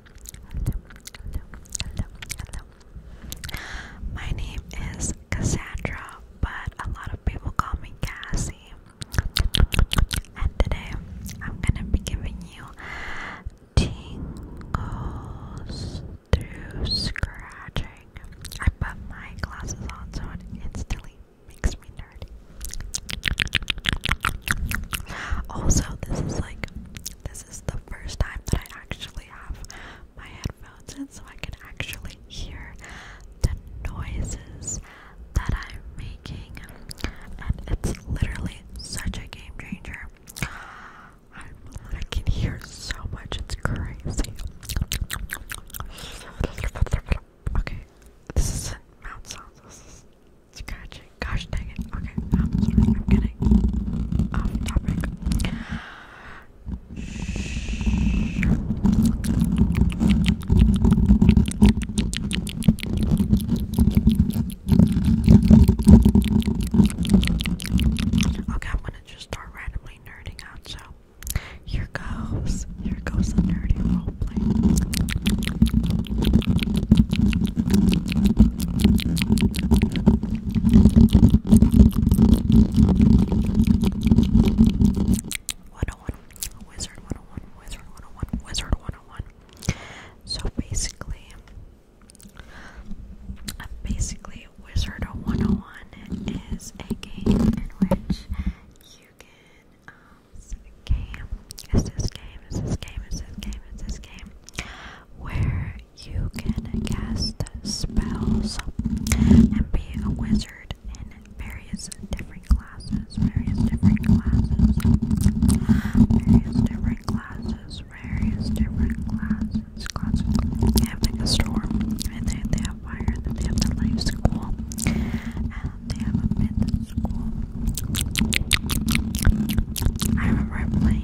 hello, hello, hello. My name is Cassandra, but a lot of people call me Cassie. And today I'm gonna be giving you tingles through scratching. I put my glasses on so it instantly makes me nerdy. Also, this is like the this is the first time that I actually have my headphones in so I can actually hear the noises that I'm making and it's literally such a game changer. i can hear so much, it's crazy. Okay, this is mouth sounds, this is Gosh dang it. Okay, um, sorry, I'm getting Okay, I'm gonna just start randomly nerding out, so here goes, here goes the nerdy roleplay. 101 Wizard 101 Wizard 101 Wizard 101 So basically basically Wizard 101 is a game in which you can um where you can cast spells and be a wizard in various different classes, various different classes, various different classes, various different classes, classes. like storm, and they, they have fire, they have the life school, and they have a myth school. I remember I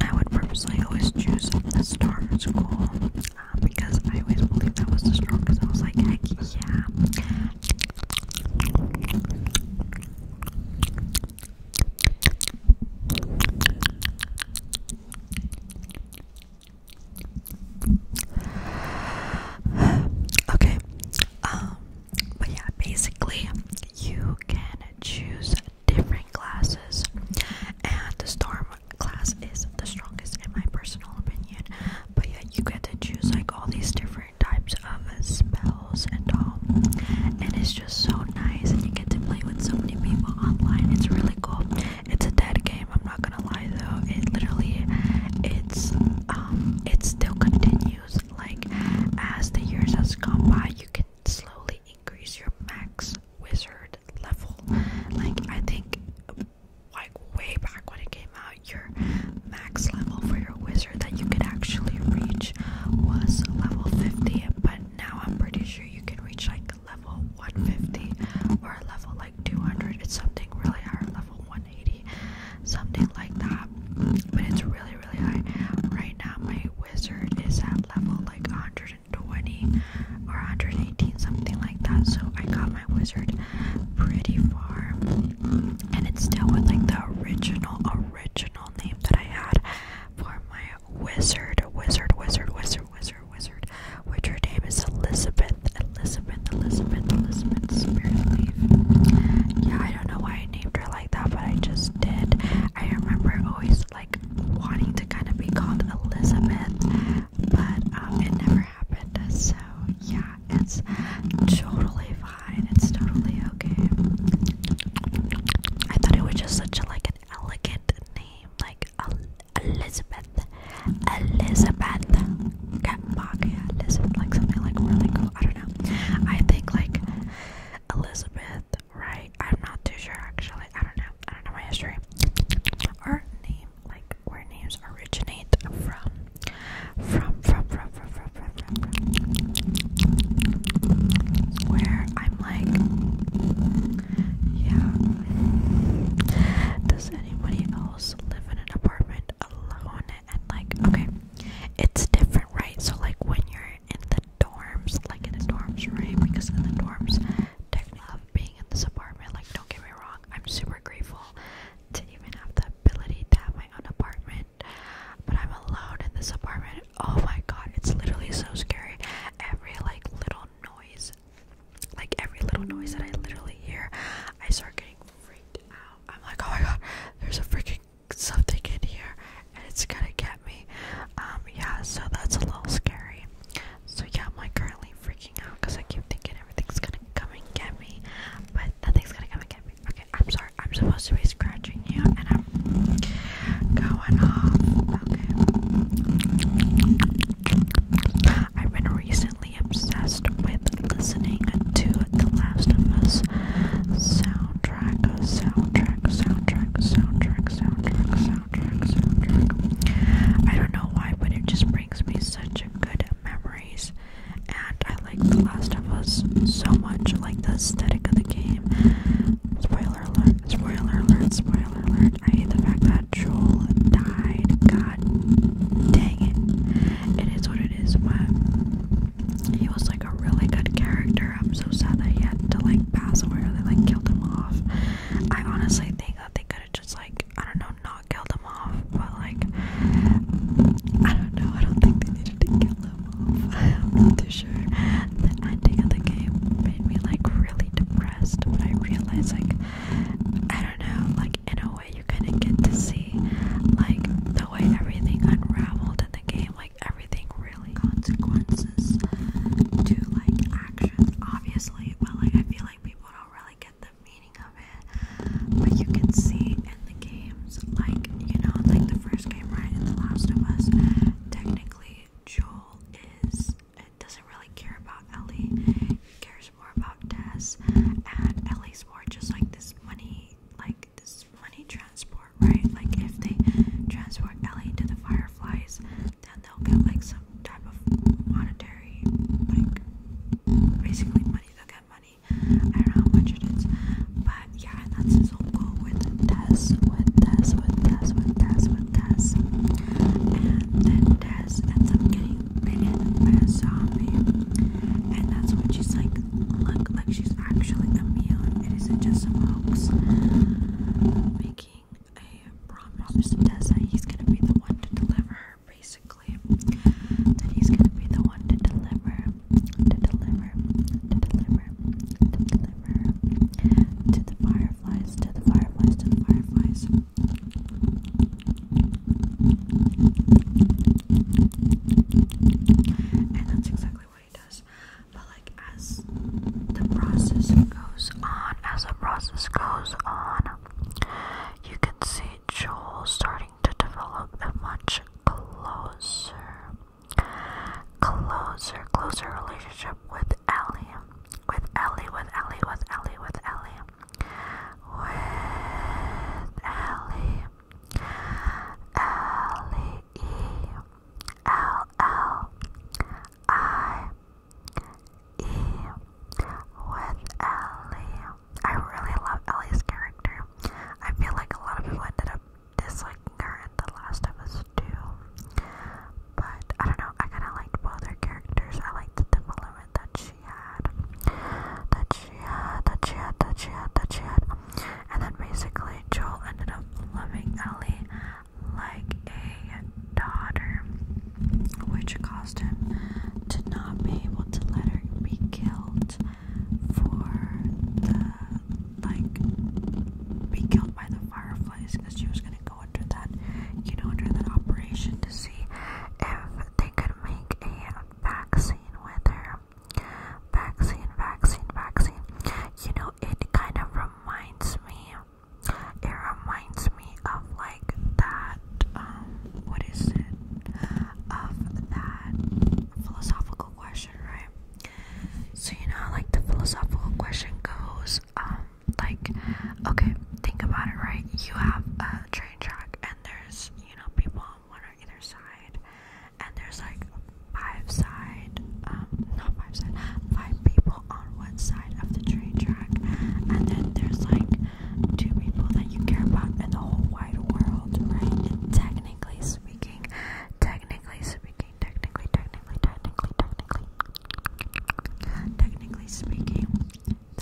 I would purposely always choose the star school um, because I always believed that was the strongest. I was like, heck yeah. Okay, um, but yeah, basically, you can choose different classes, and the storm class is the strongest in my personal opinion. But yeah, you get to choose like all these different types of spells and all, and it's just so nice. And you get to play with so many people online. It's really cool. It's a dead game. I'm not gonna lie though. It literally, it's um, it still continues. Like as the years has gone by, you can slowly increase your max wizard level. Like I think like way back when it came out, your max level for your wizard that you could actually reach was level 50, but now I'm pretty sure you can reach like level 150 or level like 200. It's something really high, level 180, something like that. But it's really, really high. Right now, my wizard is at level like 150. 120 or 118, something like that. So I got my wizard pretty far, and it's still with like the original, original name that I had for my wizard, wizard, wizard, wizard, wizard, wizard, which her name is Elizabeth, Elizabeth, Elizabeth, Elizabeth Spiritleaf. Yeah, I don't know why I named her like that, but I just did. I remember always like wanting to kind of be called Elizabeth, but um, it never happened. So yeah, it's totally fine. It's totally okay. I thought it was just such like an elegant name, like Elizabeth, Elizabeth, Getbach, yeah, like something like really cool. I don't know. I think like Elizabeth right? I'm not too sure actually. I don't know. I don't know my history. Our name, like where names originate from. From, from, from, from, from, from, from, from. Where I'm like, yeah. Does anybody else live in an apartment alone? And like, okay, it's different, right? So like when you're in the dorms, like in the dorms, right? Because in the dorms, I love being in this apartment. Like, don't get me wrong, I'm super grateful to even have the ability to have my own apartment. But I'm alone in this apartment. Oh my god, it's literally so scary. Every like little noise, like every little noise that I literally hear, I start getting freaked out. I'm like, oh my god, there's a freaking something in here and it's gonna get me. Um, yeah, so that's a little scary. So yeah, I'm like currently freaking out because I keep thinking everything's gonna come and get me, but nothing's gonna come and get me. Okay, I'm sorry. I'm supposed to be scratching you, and I'm going off. Okay. I've been recently obsessed with listening to the Last of Us soundtrack, soundtrack, soundtrack, soundtrack, soundtrack. I don't know why, but it just brings me such good memories. And I like The Last of Us so much. like the aesthetic of the game. Spoiler alert, spoiler alert, spoiler alert. I hate the fact that Joel died. God dang it. It is what it is, but he was like a really good character. I'm so sad that he had to like pass away or they like killed him off. I honestly think that they could have just like I don't know not killed him off, but like I don't know. I don't think they needed to kill him off. I'm not too sure. The ending of the game made me like really depressed, but I realized like I don't know. Like in a way, you kind of get to see like the way everything unraveled in the game, like everything consequences to like actions, obviously, but like I feel like people don't really get the meaning of it. But you can see in the games, like you know, like the first game, right? In The Last of Us, technically Joel is doesn't really care about Ellie. He cares more about Tess, and Ellie's more just like this money, like this money transport, right? Like if they transport Ellie to the Fireflies, then they'll get like some type of monetary, like basically money. They'll get money. I don't know how much it is, but yeah, and that's his whole goal with Tess, with Tess, with Tess, with Tess, with Tess, and then Tess ends up getting bitten by a zombie, and that's when she's like, look, like she's actually immune. It isn't just some hoax. Mickey making a promise to He's gonna be the one to deliver her, basically. That he's gonna be the one to deliver, to deliver, to deliver, to deliver to the fireflies, to the fireflies, to the fireflies. And that's exactly what he does like as the process goes on, as the process goes on, you can see Joel starting to develop a much closer, closer, closer relationship with Ellie, with Ellie, with Ellie, with Ellie, with Ellie, with Ellie, L E L L I E with Ellie. I really love Ellie's character. I feel like a lot of people ended up disliking her in The Last of Us 2. But I don't know, I kind of liked both her characters. I liked the development that she had. That she had, that she had, that she had, that she had. And then basically, Joel ended up loving Ellie like a daughter, which caused him to not be able to let her be killed for the like be killed by the fireflies because she was gonna go under that you know under that operation to see if they could make a vaccine with Vaccine, vaccine, vaccine. You know, it kind of reminds me it reminds me of like that, um, what is it? Of that philosophical question, right? So, you know, like the philosophical question goes, um, like, okay, think about it, right? You have a train track, and there's, you know, people on one or either side, and there's like five side, um, five side, five people on one side of the train track, and then there's like two people that you care about in the whole wide world, right? And technically speaking, technically speaking, technically, technically, technically, technically, technically speaking,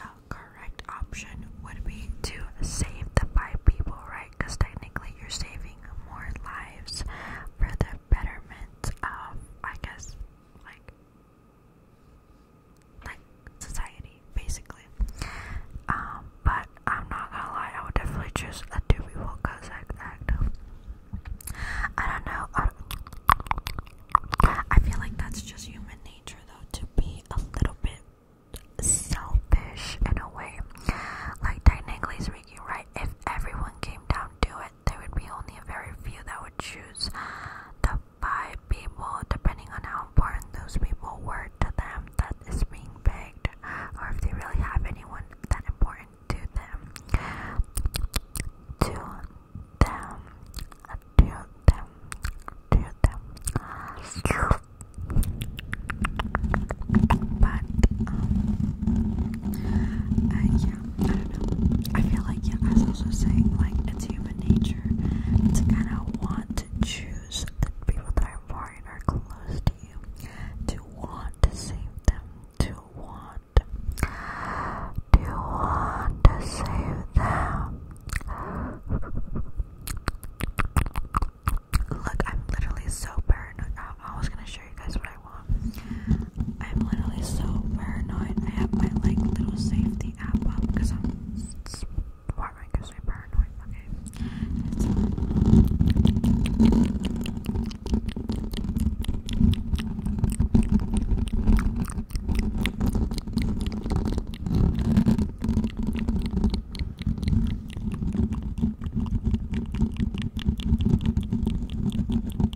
the correct option would be to save the five people, right? Because technically, you're saving more lives for the betterment of, I guess, like like society, basically. Um, but I'm not gonna lie, I would definitely choose a Doobie Wolka Zack act. I don't know. I, feel like that's just human nature, though, to be a little bit selfish in a way. Like technically right? If everyone came down to it, there would be only a very few that would choose the five people, depending on how important those people were to them that is being begged, or if they really have anyone that important to them. To them, to them, to them. But, um, uh, I don't know. I feel like, yeah, I was also saying, like, it's human nature to kind of want to choose the people that are far and are close to you, to want to save them, to want, to want to save them. Look, I'm literally so paranoid. I, was gonna show you guys what I I am literally so paranoid. I have my like little safety app up because I'm paranoid because I am paranoid? Okay.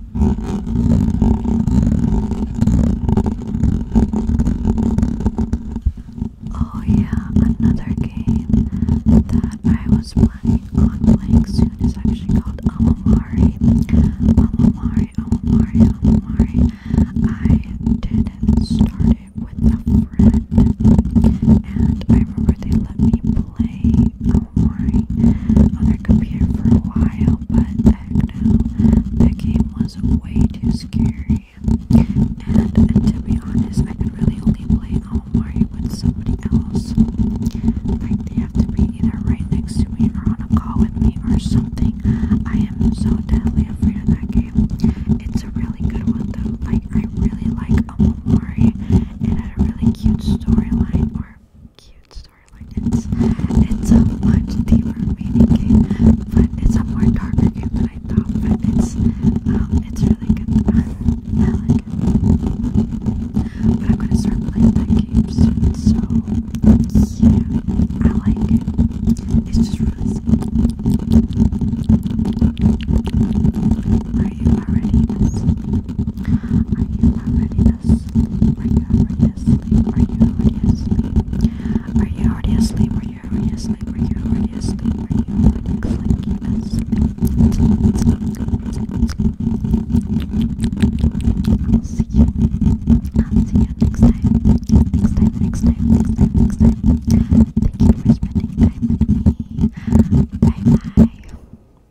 Oh, yeah, another game that I was planning playing soon is actually called Amamari. Amamari, Amamari, Amamari. I did start it with a friend, and I remember they let me play Warring on their computer for a while, but heck no, that game was way too scary. And, and to be honest, I could really only play All Mario with somebody else. Like, they have to be either right next to me or on a call with me or something. I am so deadly afraid of that game. It's a really good one, though. Like, I really like All Mario. It had a really cute storyline, or cute storyline. It's a much deeper meaning game, but it's a more darker game than I thought. But it's um it's really good. I like it. But I'm gonna start playing that game soon. So yeah, I like it. It's just really simple. Are you already? Are you already asleep? Are you already asleep? Are you already asleep? Are you already asleep? Are you already asleep? Are you already asleep? Are you already asleep? I'll see you. i see you next time. Next time, next time, next time, next time. Thank you for spending time with me. Bye bye.